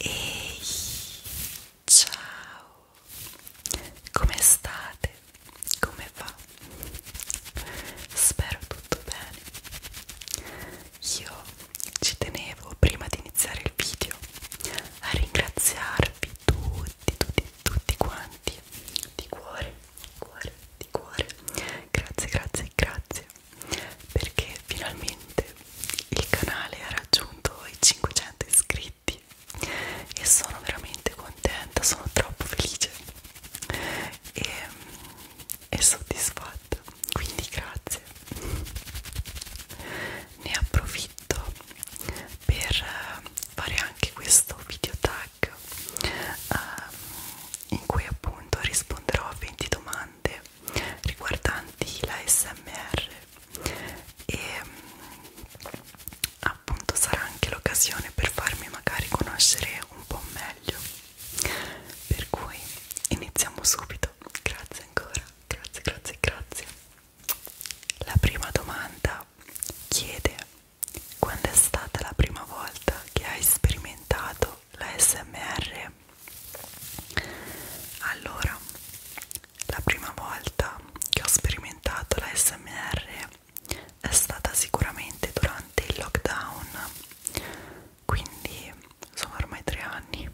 Ehi, ciao, come state? Come va? Spero tutto bene. Io ci tenevo prima di iniziare il video a ringraziarvi tutti, tutti, tutti quanti di cuore, di cuore, di cuore. Grazie, grazie, grazie perché finalmente il canale ha raggiunto i 500 iscritti e sono veramente contenta, sono troppo felice e, e soddisfatta, quindi grazie. Ne approfitto per fare anche questo video tag um, in cui appunto risponderò a 20 domande riguardanti la SMR e mm, appunto sarà anche l'occasione per farmi magari conoscere un po' meglio per cui iniziamo subito grazie ancora grazie grazie grazie la prima domanda chiede quando è stata la prima volta che hai sperimentato la smr allora la prima volta che ho sperimentato la smr è stata sicuramente durante il lockdown quindi sono ormai tre anni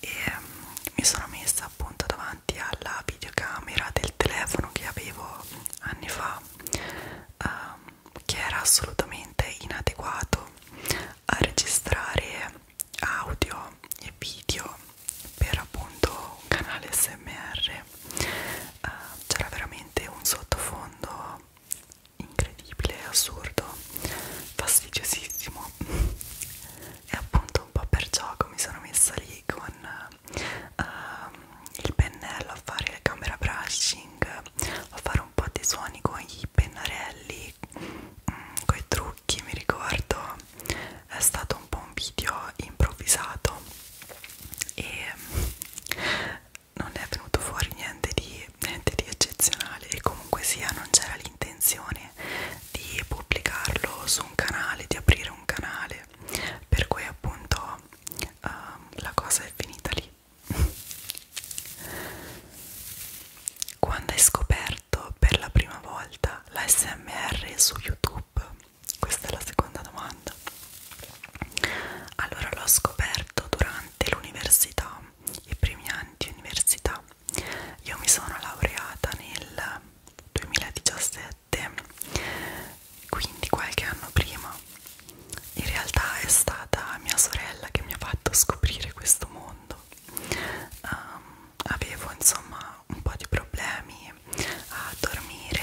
e mm, mi sono messa appunto davanti alla videocamera del telefono che avevo anni fa um, che era assolutamente inadeguato a registrare audio e video per appunto un canale smr uh, eh, c'era veramente un sottofondo incredibile assurdo fastidiosissimo e appunto un po' per gioco mi sono messa lì con uh, il pennello a fare la camera brushing a fare un po' di suoni con i pennarelli coi, mm, coi trucchi mi ricordo è stato un po' un video improvvisato e mm, non è venuto fuori niente di, niente di eccezionale e comunque sia non c'era l'intenzione di pubblicarlo su un canale, di aprire un canale per cui appunto uh, la cosa è finita lì quando hai scoperto per la prima volta l'ASMR su YouTube? Questa è la seconda domanda. Allora l'ho scoperto durante l'università, i primi anni di università. Io mi sono laureata nel 2017, quindi qualche anno prima. In realtà è stata mia sorella che mi ha fatto scoprire questo questo mondo um, avevo insomma un po' di problemi a dormire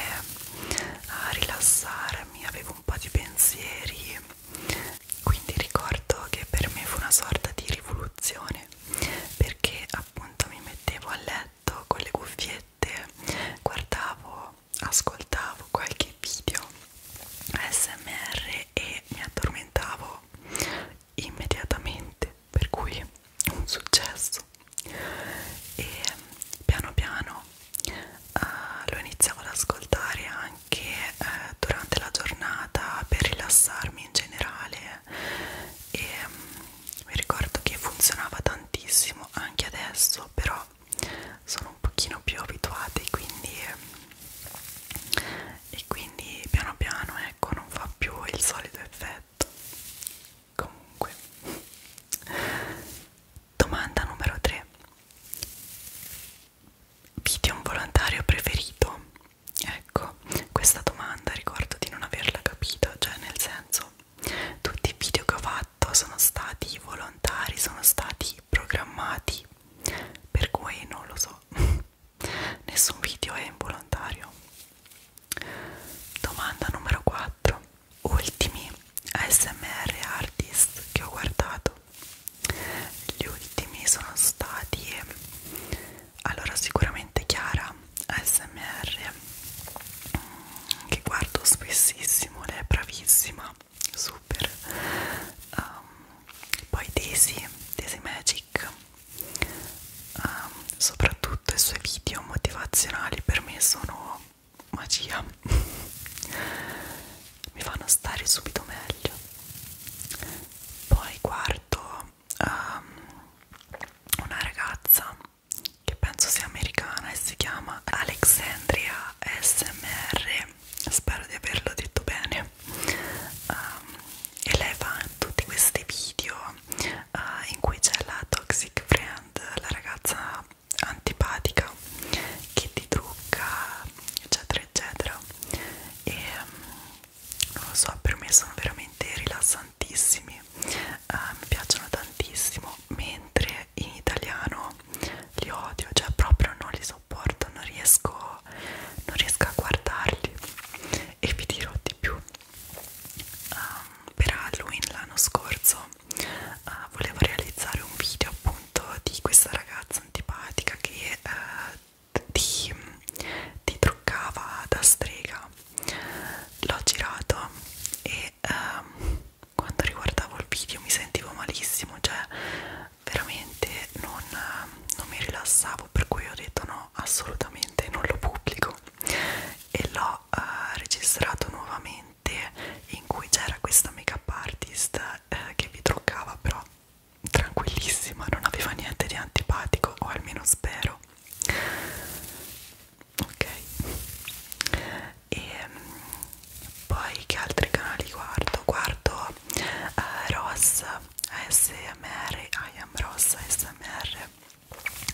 a rilassarmi avevo un po' di pensieri quindi ricordo che per me fu una sorta di rivoluzione perché appunto mi mettevo a letto con le cuffiette guardavo ascoltavo qualche video smr e mi addormentavo immediatamente per cui un successo e piano piano uh, lo iniziavo ad ascoltare anche uh, durante la giornata per rilassarmi in generale e um, mi ricordo che funzionava tantissimo anche adesso però sono sono un pochino più abituati quindi eh, e quindi piano piano ecco non fa più il solito effetto comunque domanda numero 3 video involontario preferito ecco questa domanda ricordo di non averla capita cioè nel senso tutti i video che ho fatto sono stati volontari sono stati stati programmati per cui non lo so nessun video è involontario domanda numero 4 ultimi ASMR artist che ho guardato gli ultimi sono stati allora sicuramente Chiara ASMR che guardo spessissimo lei è bravissima super um, poi Daisy, Daisy Magic um, soprattutto i suoi video motivazionali per me sono magia mi fanno stare subito meglio poi guardo um, ehm, una ragazza che penso sia americana e si chiama Alexandria SMR spero di averlo detto bene um, ehm, e lei fa tutti questi video uh, in cui c'è la toxic friend, la ragazza antipatica che ti trucca eccetera eccetera e um, non lo so per me sono veramente rilassantissimi uh, mi piacciono tantissimo mentre in italiano li odio cioè proprio non li so sopporto, non riesco, non riesco a guardarli e vi dirò di più. Um, per Halloween l'anno scorso uh, volevo realizzare un video appunto di questa ragazza antipatica che uh, ti, ti truccava da strega. L'ho girato e um, quando riguardavo il video mi sentivo malissimo, cioè veramente non, eh, non mi rilassavo per cui ho detto no assolutamente non lo pubblico e l'ho uh, registrato nuovamente in cui c'era questa make up artist uh, che vi truccava però tranquillissima non aveva niente di antipatico o almeno spero ok e um, poi che altri canali guardo guardo eh, Ross ASMR, I am Ross ASMR,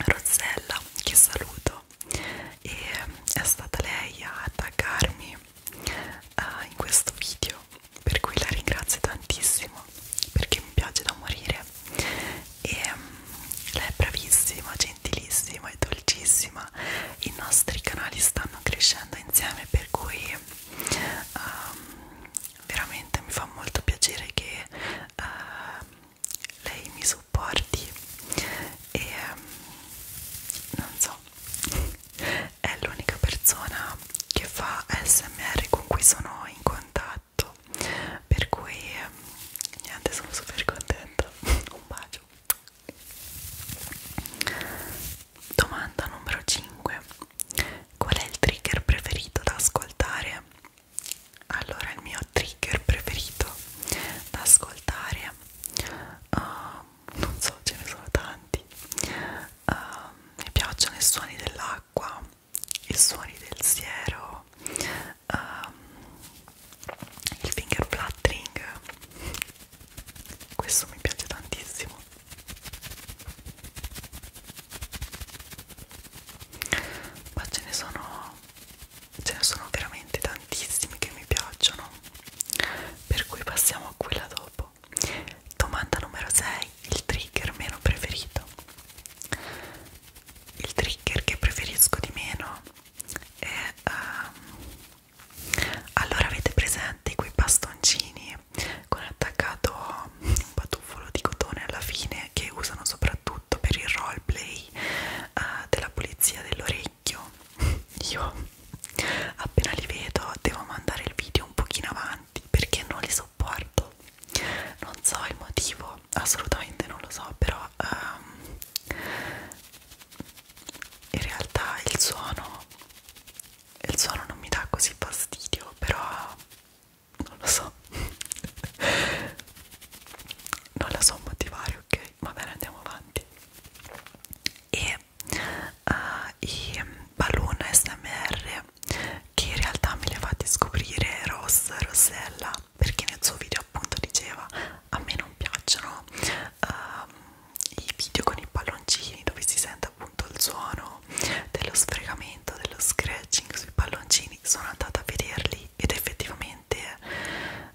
Rossella che saluto e è stata lei a taggarmi eh, in questo video per cui la ringrazio tantissimo perché mi piace da morire e mm, lei è bravissima, gentilissima e dolcissima i nostri canali stanno crescendo insieme per cui um, veramente mi fa molto piacere che uh, lei mi supporti e um, non so è l'unica persona che fa smr con cui sono in contatto per cui um, niente sono super contenta un bacio Domanda numero 5. Qual è il trigger preferito da ascoltare? Allora, il mio trigger preferito da ascoltare, uh, non so, ce ne sono tanti. Uh, mi piacciono i suoni dell'acqua, i suoni del siero, uh, il finger fluttering. Questo mi piace tantissimo ma ce ne sono ce ne sono veramente tantissimi che mi piacciono per cui passiamo a quella dopo domanda numero 6 il trigger meno preferito il trigger che preferisco di meno è um, allora avete presente quei bastoncini con attaccato un patuffolo di cotone alla fine che usano soprattutto per il roleplay uh, della pulizia dell'orecchio io appena li vedo devo mandare il video un pochino avanti perché non li sopporto non so il motivo assolutamente non lo so però um, in realtà il suono il suono non mi dà così fastidio però non lo so non la so motivare ok va bene andiamo avanti e uh, i balloon smr che in realtà me li ha fatti scoprire Ross Rossella perché nel suo video appunto diceva a me non piacciono um, i video con i palloncini dove si sente appunto il suono dello sfregamento, dello scratching sui palloncini sono andata a vederli ed effettivamente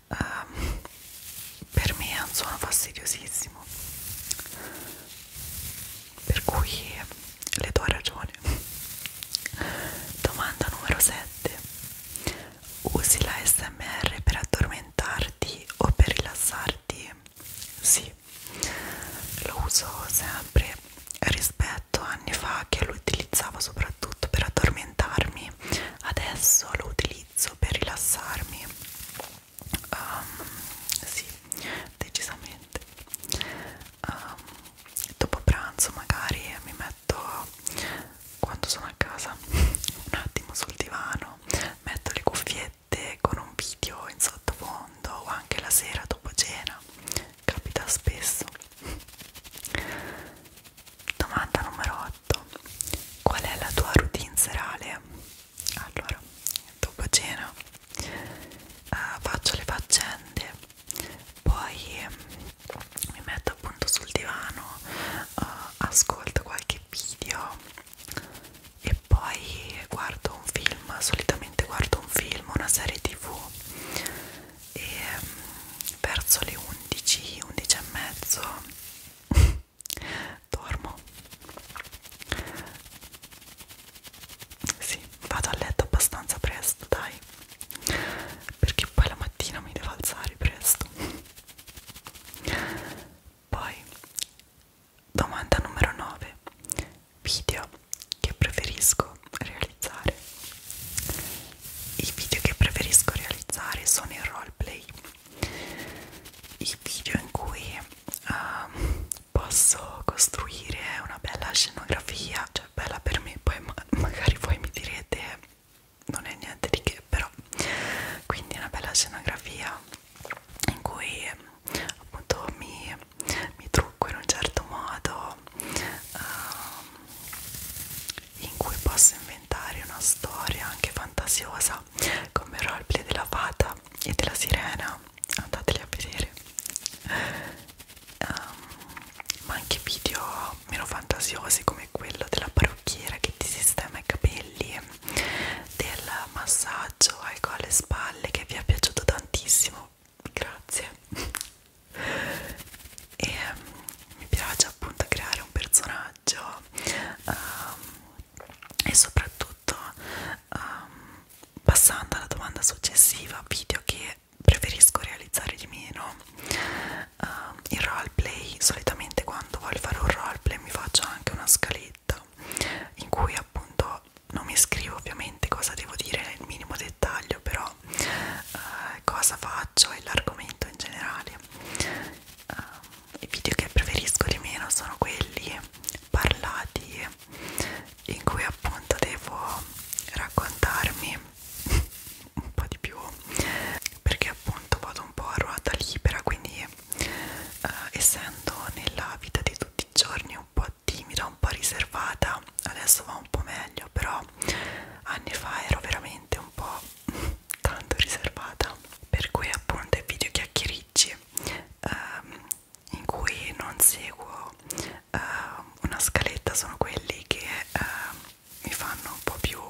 um, per me è un suono fastidiosissimo per cui le do ragione domanda numero 7 usi la smr per addormentarti o per rilassarti tardi sì lo uso sempre rispetto a anni fa che lo utilizzavo soprattutto per addormentarmi adesso lo utilizzo per rilassarmi um, sì decisamente um, dopo pranzo magari mi metto quando sono a casa un attimo sul divano metto le cuffiette mette con un video in sottofondo o anche la sera dopo cena capita spesso domanda numero 8 qual è la tua routine serale? allora dopo cena uh, faccio le faccende poi um, mi metto appunto sul divano uh, ascolto qualche video e poi guardo un film, solitamente guardo un film, una serie tv e mm, verso le 11, 11 e mezzo dormo sì, vado a letto abbastanza presto dai perché poi la mattina mi devo alzare presto poi Domanda numero 9. Video che preferisco realizzare. I video che preferisco realizzare sono i roleplay. I video in cui um, posso costruire una bella scenografia, cioè bella per me, poi ma magari voi mi direte non è niente di che però. Quindi una bella scenografia in cui appunto mi, mi trucco in un certo modo um, in cui posso inventare una storia anche fantasiosa come il roleplay della fata e della sirena andateli a vedere um, ma anche video meno fantasiosi come quello della parrucchiera che ti sistema i capelli del massaggio ecco alle spalle che vi è piaciuto tantissimo grazie e um, mi piace appunto creare un personaggio um, e soprattutto um, passando alla domanda successiva video che preferisco realizzare di meno um, il roleplay solitamente quando voglio fare un roleplay mi faccio anche una scaletta in cui appunto io non mi scrivo ovviamente cosa devo dire nel minimo dettaglio però eh, cosa faccio e l'argomento in generale eh, i video che preferisco di meno sono quelli parlati in cui appunto devo raccontarmi un po' di più perché appunto vado un po' a ruota libera quindi eh, essendo nella vita di tutti i giorni un po' timida, un po' riservata, adesso va un po' meglio, però anni fa ero veramente un po' tanto riservata, per cui appunto i video chiacchiericci ehm, in cui non seguo ehm, una scaletta sono quelli che ehm, mi fanno un po' più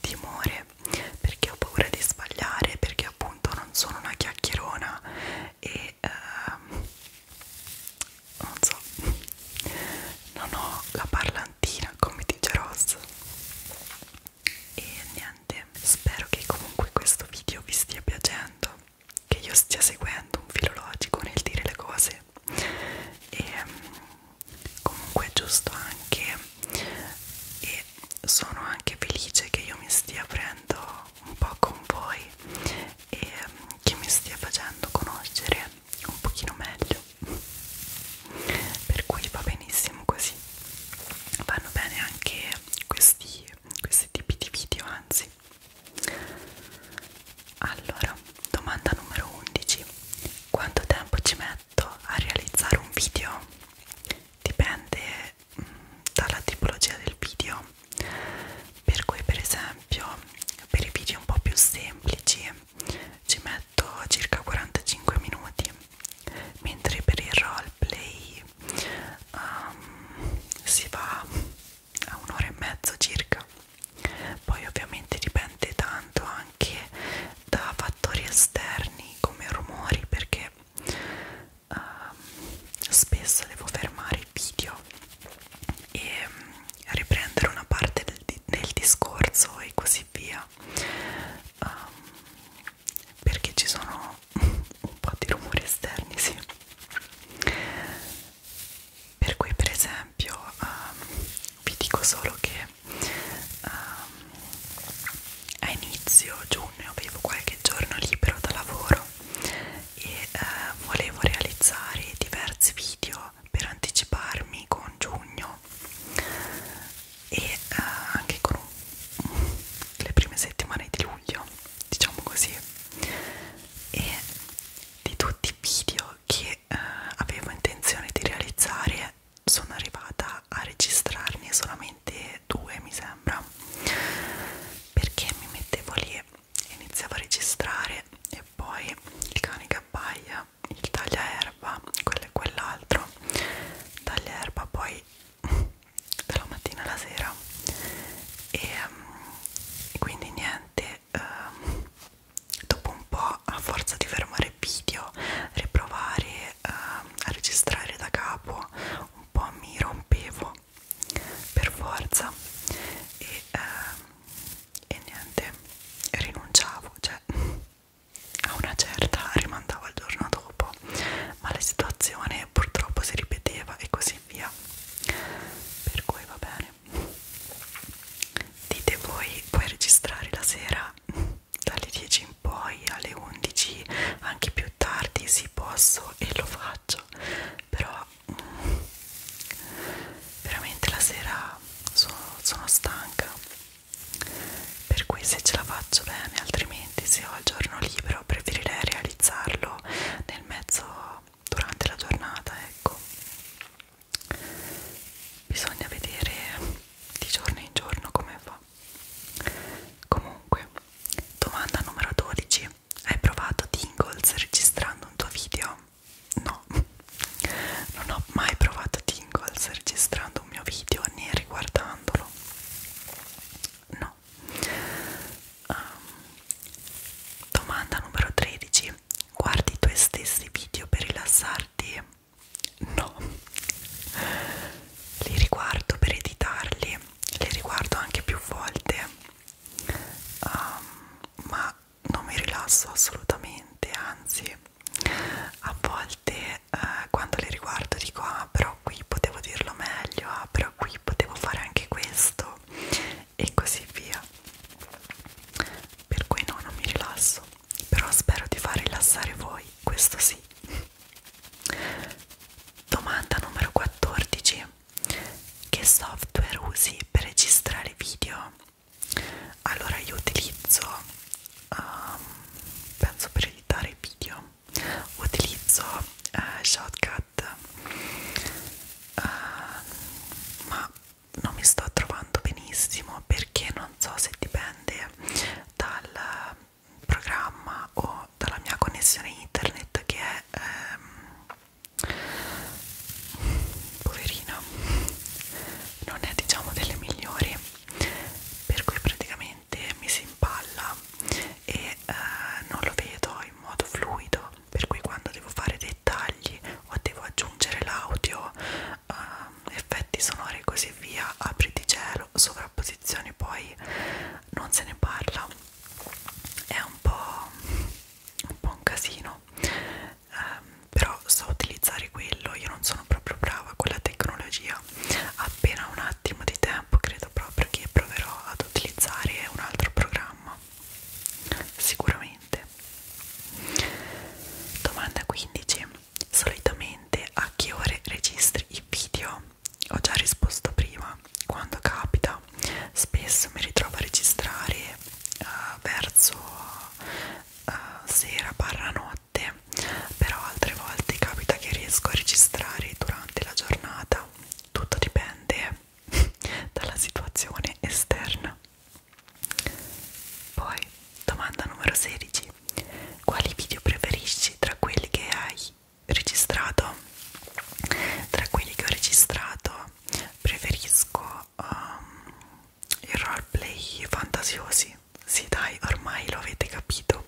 timore perché ho paura di sbagliare, perché appunto non sono una chiacchierona e uh, non so non ho la parlantina come dice Ross e niente spero che comunque questo video vi stia piacendo che io stia seguendo un filologico nel dire le cose e comunque è giusto anche e sono anche felice che io mi stia aprendo un po' con voi e ehm, che mi stia facendo conoscere un pochino meglio per cui va benissimo così vanno bene anche questi, questi tipi di video anzi allora domanda numero 11 quanto tempo ci metto a realizzare un video? Dipende dalla tipologia del video per cui per esempio per i video un po' più semplici ci metto circa 45 minuti mentre per il roleplay um, si va a un'ora e mezzo circa poi ovviamente dipende tanto anche da fattori esterni come rumori perché uh, spesso devo fermare il video e mm, riprendere una parte del, del discorso e così via um, perché ci sono un po' di rumori esterni sì per cui per esempio um, vi dico solo che um, a inizio giugno avevo qualche giorno libero da lavoro e eh, volevo realizzare diversi video per anticiparmi con giugno e eh, anche con un, le prime settimane di luglio diciamo così e di tutti i video che eh, avevo intenzione di realizzare sono arrivata a registrarne solamente due mi sembra perché mi mettevo lì e iniziavo a registrare e poi il cane che abbaia il tagliaerba quello e quell'altro tagliaerba poi dalla mattina alla sera e um, quindi niente um, dopo un po' a forza di fermare video riprovare um, a registrare da capo un po' mi rompevo no per forza e, eh, e niente rinunciavo cioè a una certa rimandavo al giorno dopo ma la situazione purtroppo si ripeteva e così via per cui va bene dite voi puoi registrare la sera dalle 10 in poi alle 11 anche più tardi si posso e lo faccio faccio però mm, veramente la sera sono, sono stanca per cui se ce la faccio bene altrimenti se ho il giorno libero preferirei realizzarlo nel mezzo durante la giornata ecco bisogna vedere di giorno in giorno come va comunque domanda numero 12 hai provato Tingles registrando un tuo video? No, non ho mai provato Tingles registrando un mio video né riguardandolo. No. Um, domanda numero 13. Guardi i tuoi stessi video per rilassarti? No, li riguardo per editarli le riguardo anche più volte um, ma non mi rilasso assolutamente anzi a volte uh, quando le riguardo dico ah però qui potevo dirlo meglio ah però qui potevo fare anche questo e così via per cui no non mi rilasso però spero di far rilassare voi questo sì domanda numero 14 che software usi per registrare video? Allora io utilizzo, um, penso per editare video, utilizzo uh, Shotcut, uh, ma non mi sto trovando benissimo perché non so se dipende dal programma o dalla mia connessione internet che è ehm, poverina non è diciamo delle migliori per cui praticamente mi si impalla e eh, non lo vedo in modo fluido per cui quando devo fare dettagli o devo aggiungere l'audio eh, effetti sonori e così via apri di cielo sovrapposizioni poi non se ne parla è un po' un, po un casino um, però so utilizzare quello io non sono proprio brava con la tecnologia appena un attimo di tempo credo proprio che proverò ad utilizzare un altro programma sicuramente domanda 15 solitamente a che ore registri i video ho già risposto prima, quando capita spesso mi ritrovo a registrare uh, verso uh, sera barra notte, però altre volte capita che riesco a registrare durante la giornata, tutto dipende dalla situazione esterna. Poi, domanda numero 16. Quali video preferisci tra quelli che hai registrato tra quelli che ho registrato preferisco um, ehm, i roleplay fantasiosi sì dai ormai lo avete capito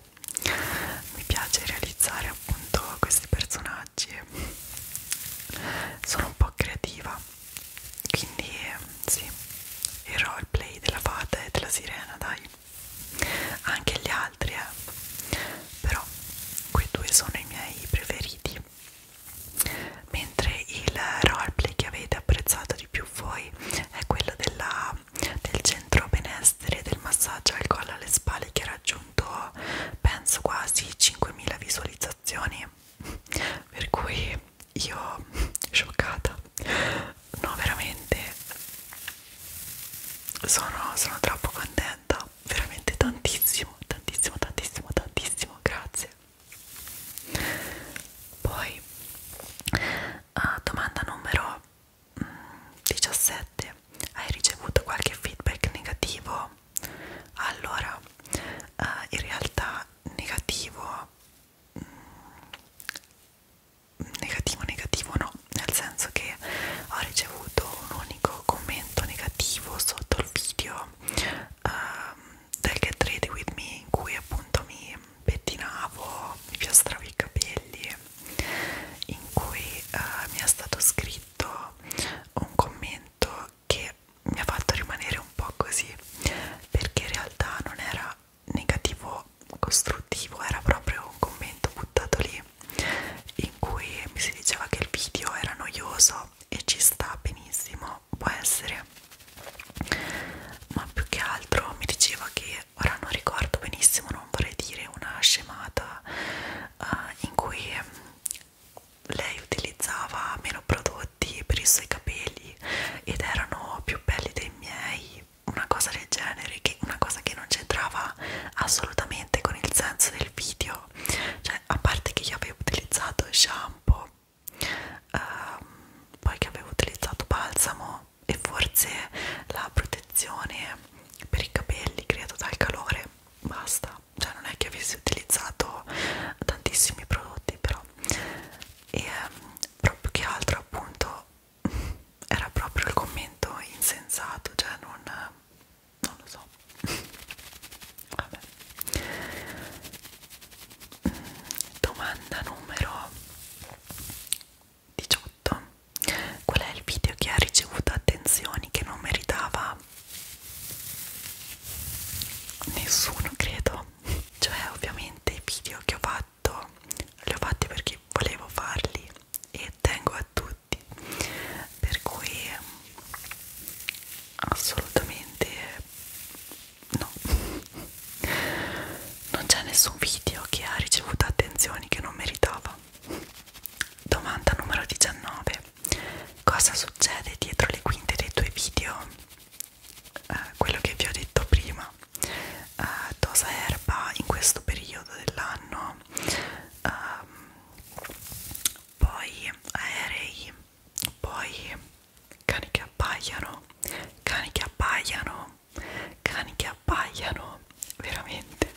mi piace realizzare appunto questi personaggi sono un po' creativa quindi sì il roleplay della fata e della sirena dai anche gli altri eh. però quei due sono i miei preferiti mentre il roleplay che avete apprezzato di più voi è quello della, del centro benessere del massaggio al collo alle spalle che ha raggiunto penso quasi 5.000 visualizzazioni per cui io scioccata no veramente sono, sono troppo contenta aiuta veramente tantissimo, tantissimo, tantissimo, tantissimo, grazie. Poi uh, domanda numero 17. Mm, Hai ricevuto qualche feedback negativo? Allora, uh, in realtà negativo mm, negativo negativo no nel senso che ho ricevuto un unico commento negativo sotto il video um, del Get Ready With Me in cui appunto mi pettinavo, mi piastravo i capelli in cui uh, mi è stato scritto un commento che mi ha fatto rimanere un po' così perché in realtà non era negativo costruttivo era proprio un commento buttato lì in cui mi si diceva che il video era noioso e ci sta benissimo, può essere ma più che altro mi diceva che ora non ricordo benissimo, non vorrei dire una scemata uh, in cui mm, lei utilizzava meno prodotti per i suoi capelli ed erano più belli dei miei una cosa del genere, che una cosa che non c'entrava assolutamente con il senso del nel video cioè a parte che io avevo utilizzato shampoo ehm, poi che avevo utilizzato balsamo e forse la protezione per i capelli creata dal calore basta cioè non è che avessi utilizzato tantissimi prodotti però e ehm, proprio che altro appunto era proprio il commento insensato cioè non non lo so vabbè domanda numero 18 qual è il video che ha ricevuto attenzioni che non meritava nessuno credo cioè ovviamente i video che ho fatto li ho fatti perché volevo farli e tengo a tutti per cui assolutamente no non c'è nessun video che ha ricevuto attenzioni che non meritava domanda numero 19 cosa succede dietro le quinte dei tuoi video eh, quello che vi ho detto prima eh, dosa erba in questo periodo dell'anno ehm, poi aerei, poi cani che appaiano, cani che appaiano, cani che appaiano, veramente.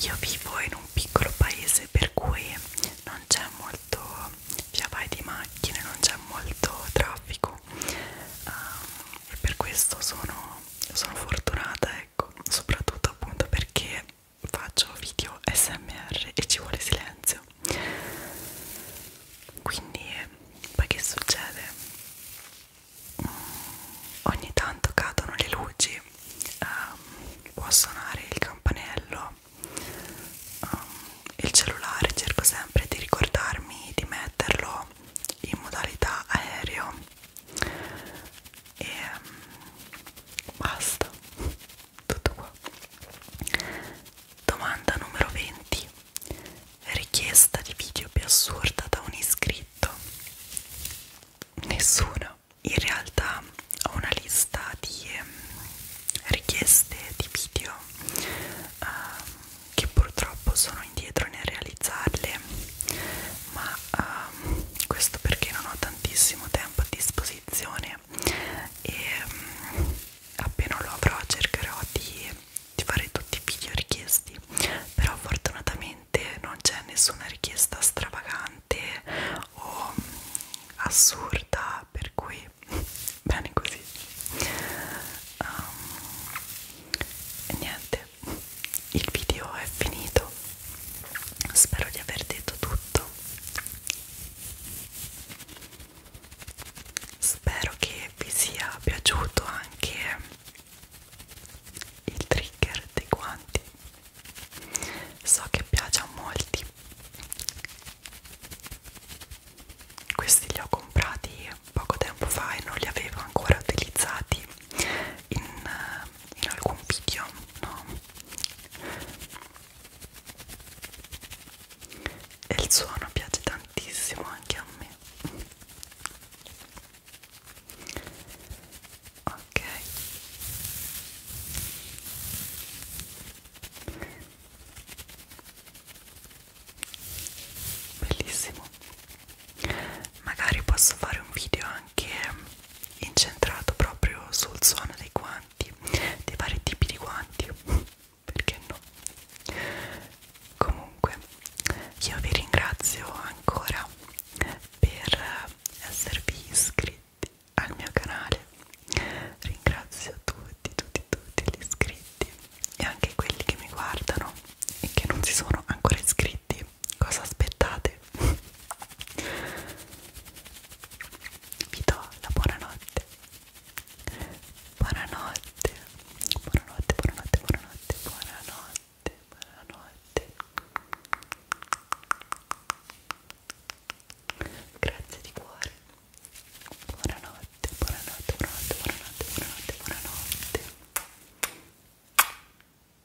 Io vivo in un piccolo paese per cui non c'è molto via vai di macchine, non c'è molto traffico um, e per questo sono sono fortunata ecco soprattutto appunto perché faccio video smr e ci vuole silenzio quindi poi che succede mm, ogni tanto cadono le luci um, può suonare il campanello um, il cellulare cerco sempre di ricordarmi di metterlo in modalità aereo e um, basta tutto qua domanda numero 20 richiesta di video più assurda da un iscritto nessuno in realtà ho una lista di um, richieste di video um, che purtroppo sono indietro nel realizzarle ma um, questo perché non ho tantissimo tempo a disposizione e um, appena lo avrò cercherò di, di fare tutti i video richiesti però fortunatamente non c'è nessuna richiesta stravagante o um, assurda per cui bene così um, e niente il video è finito spero di aver detto tutto spero che vi sia piaciuto anche il trigger dei guanti so che piace a molti questi li ho comprati poco tempo fa e non li avevo ancora utilizzati in eh, in alcun video, no? E il suono piace tantissimo anche a me. Ok. Bellissimo. Magari posso fare un video anche anche incentrato proprio sul suono dei guanti, dei vari tipi di guanti, perché no? Comunque, io vi ringrazio ancora per esservi iscritti al mio canale. Ringrazio tutti, tutti, tutti gli iscritti e anche quelli che mi guardano e che non si sono ancora iscritti cosa aspettate? vi do la buonanotte buonanotte buonanotte buonanotte buonanotte buonanotte buonanotte grazie di cuore buonanotte buonanotte buonanotte buonanotte buonanotte buonanotte